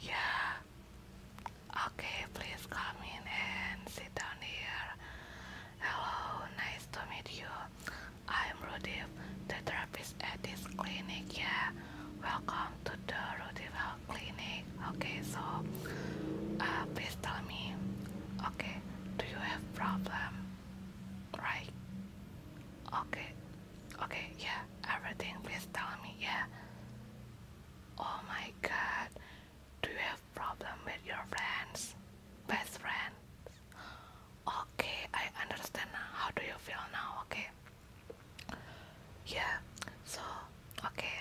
Yeah. Okay, please come in and sit down here. Hello, nice to meet you. I'm Rudif, the therapist at this clinic. Yeah, welcome to the Rudif Health Clinic. Okay, so uh, please tell me. Okay, do you have problem? Right. Okay, Okay, yeah, everything. Please tell me, yeah. Oh my god, do you have problem with your friends, best friends? Okay, I understand now. How do you feel now? Okay. Yeah. So, okay,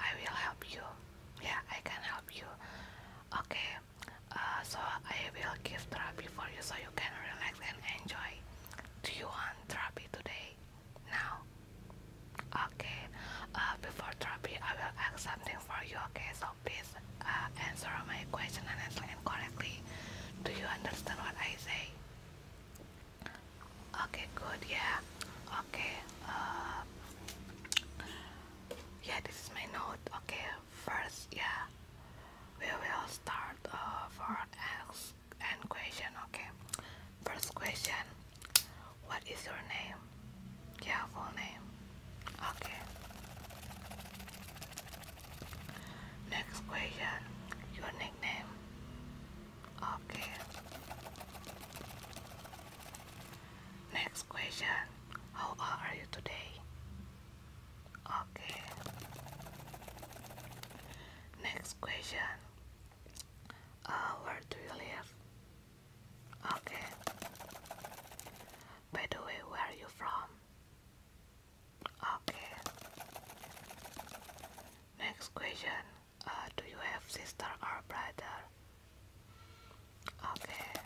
I will help you. Yeah, I can help you. Okay. Uh, so I will give therapy for you so you can relax and enjoy. Do you want therapy today? Now? Okay. Uh, before therapy, I will ask something for you, okay? So please uh, answer my question and answer it correctly. Do you understand what I say? Okay, good, yeah. Okay, uh, yeah, this is my note. Okay, first, yeah, we will start uh, for ask and question okay first question what is your name yeah full name okay next question your nickname okay next question how are you today Okay. Next question. Uh, where do you live? Okay. By the way, where are you from? Okay. Next question. Uh, do you have sister or brother? Okay.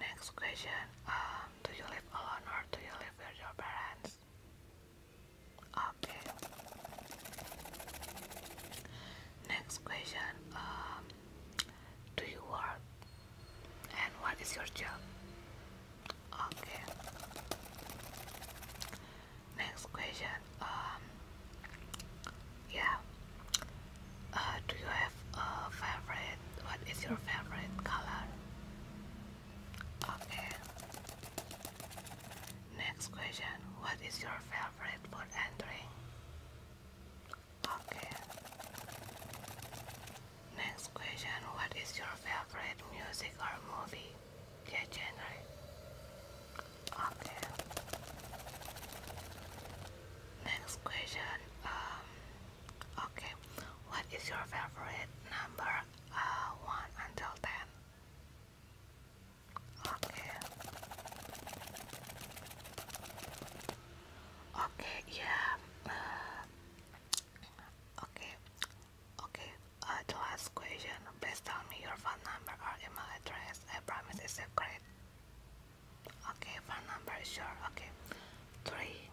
Next question. Um, do you live alone or do you live with your parents? Okay. Next question. Um, do you work? And what is your job? Okay. Next question. Um, yeah. Uh, do you have a favorite? What is your favorite color? Okay. Next question. What is your favorite food and drink? Okay. Next question. What is your favorite music or movie? genre. Okay. Next question. Um, Okay, what is your favorite number uh, 1 until 10? Okay. Okay, yeah. Uh, okay. Okay. Uh, the last question. Please tell me your phone number or email address. I promise it's secret. Okay, phone number is sure. Okay, three,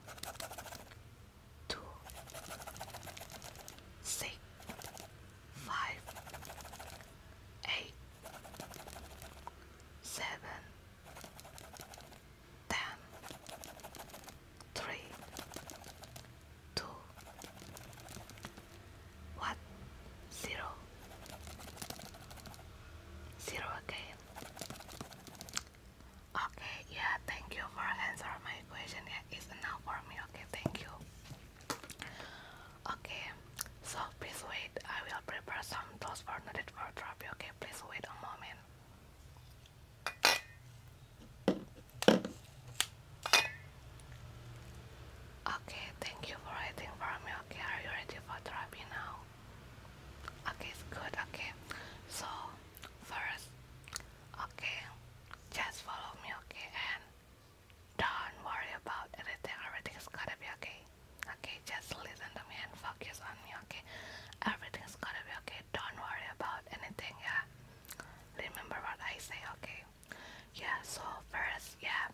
two, six, five, eight, seven, ten, three, two, one, zero. Zero again. Okay, yeah, thank you for answering my question. Yeah, it's enough for me. Okay, thank you. Okay, so please wait. I will prepare some tools for needed for therapy. Okay, please wait a moment. Okay, thank you for waiting for me. Okay, are you ready for therapy now? Okay, good. Okay, so first, okay, just follow me, okay, and don't worry about anything. Everything's gonna be okay. Okay, just listen to me and focus on me, okay? Everything's gonna be okay. Don't worry about anything, yeah? Remember what I say, okay? Yeah, so first, yeah,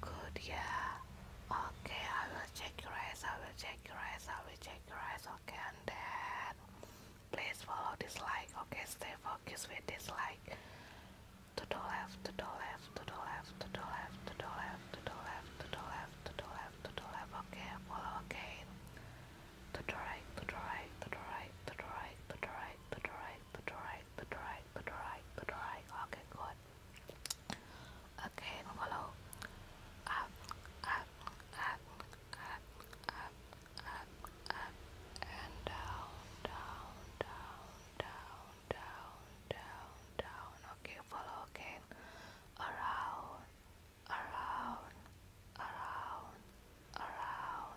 Good, yeah. Okay, I will check your eyes, I will check your eyes, I will check your eyes, okay, and then please follow this light, okay, stay focused with this light. To the left, to the left, to the left, to the left, to the left, to the left, to the left, to the left, to the left, okay, follow again. To the right, to the right, to the right, to the right, to the right, to the right, Put but right, but right, but right, but right. Oh, okay, good. Okay, follow. Up, up, up, up, up, up, up, and down, down, down, down, down, down, down. Okay, follow again. Around, around, around, around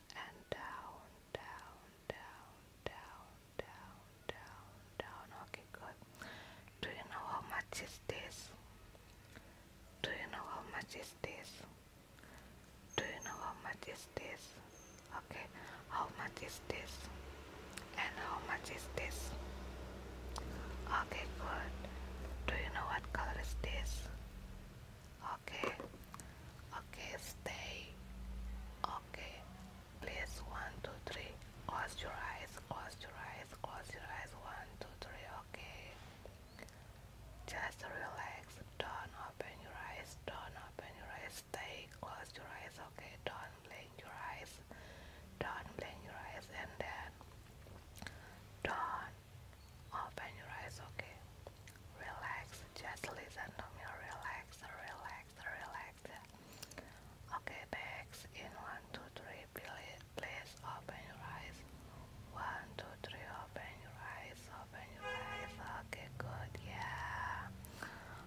and down, down, down, down, down, down, down. Okay, good. Do you know how much is this? Do you know how much is this? Do you know how much is this? Okay, how much is this? And how much is this? Okay, good. Do you know what color is this? Okay, okay, stay. Okay, please. One, two, three. Close your eyes. Close your eyes. Close your eyes. One, two, three. Okay. Just relax. Don't open your eyes. Don't open your eyes. Stay. Close your eyes. Okay. Don't blink your eyes. Don't blink your eyes. And then don't Open your eyes, okay? Relax, just listen to me. Relax, relax, relax. Okay, next. In one, two, three, please open your eyes. One, two, three, open your eyes, open your eyes. Okay, good, yeah.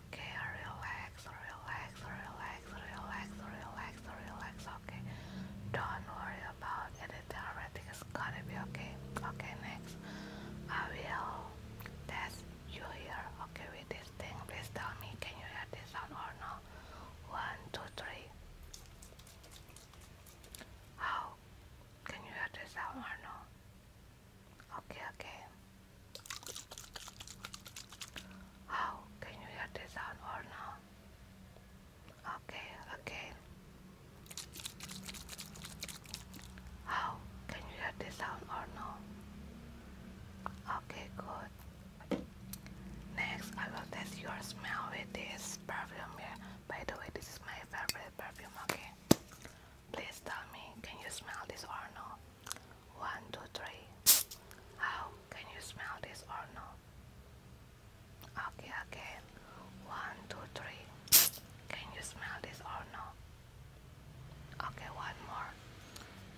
Okay, relax, relax, relax, relax, relax, relax, okay. Don't worry about it it. I think to be okay. Okay, next, I will test you here. Okay, with this thing, please tell me, can you hear this sound or not? One, two, three. How? Can you hear this sound or no? Okay, okay. How? Can you hear this sound or no? Okay, okay. How can you hear the sound or no? Okay, good. Next, I will test your smell with this perfume here. By the way, this is my favorite perfume. Okay, please tell me, can you smell this or no? One, two, three. How can you smell this or no? Okay, okay. One, two, three. Can you smell this or no? Okay, one more.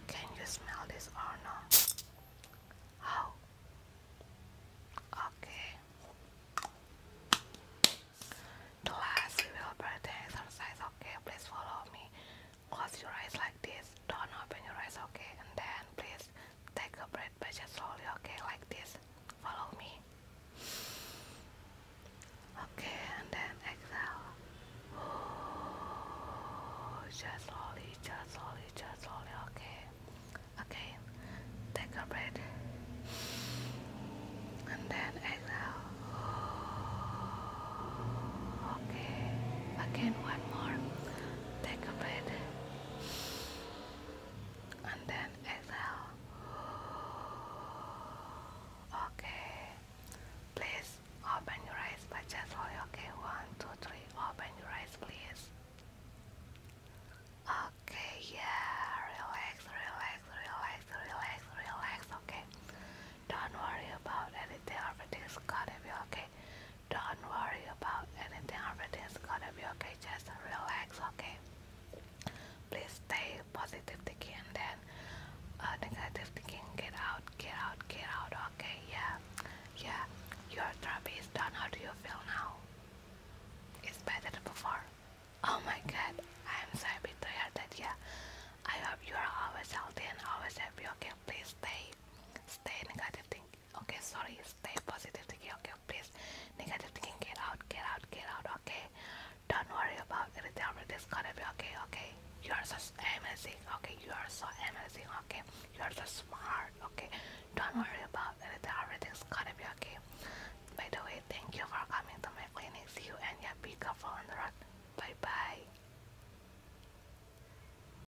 Can you smell this or no? How? Okay. The last we breathing exercise. Okay, please follow me. Close your eyes like this. Don't open your eyes. Okay, and then please take a breath just slowly, okay, like this. Follow me. Okay, and then exhale. just slowly, just slowly, just slowly, okay. Okay, take a breath. And then exhale. okay, again, one more. Take a breath and then exhale. Okay, please open your eyes, but just for okay. One, two, three, open your eyes, please. Okay, yeah, relax, relax, relax, relax, relax, okay. Don't worry about anything, everything's gonna be okay. Don't worry about anything, Everything is gonna be okay, just relax, okay? Please stay positive thinking and then uh, negative thinking, get out, get out, get out, okay? Yeah, yeah, your therapy is done, how do you feel now? It's better than before. Oh my god, I'm so happy to hear that, yeah. I hope you are always healthy and always happy, okay? Please stay, stay negative thinking. Okay, sorry, stay positive thinking. Okay, please, negative thinking, get out, get out, get out. Okay, don't worry about anything. Everything's gonna be okay. Okay, you are so amazing. Okay, you are so amazing. Okay, you are so smart. Okay, don't worry about anything. Everything's gonna be okay. By the way, thank you for coming to my clinic. See you and yeah, be careful on the road. Bye bye.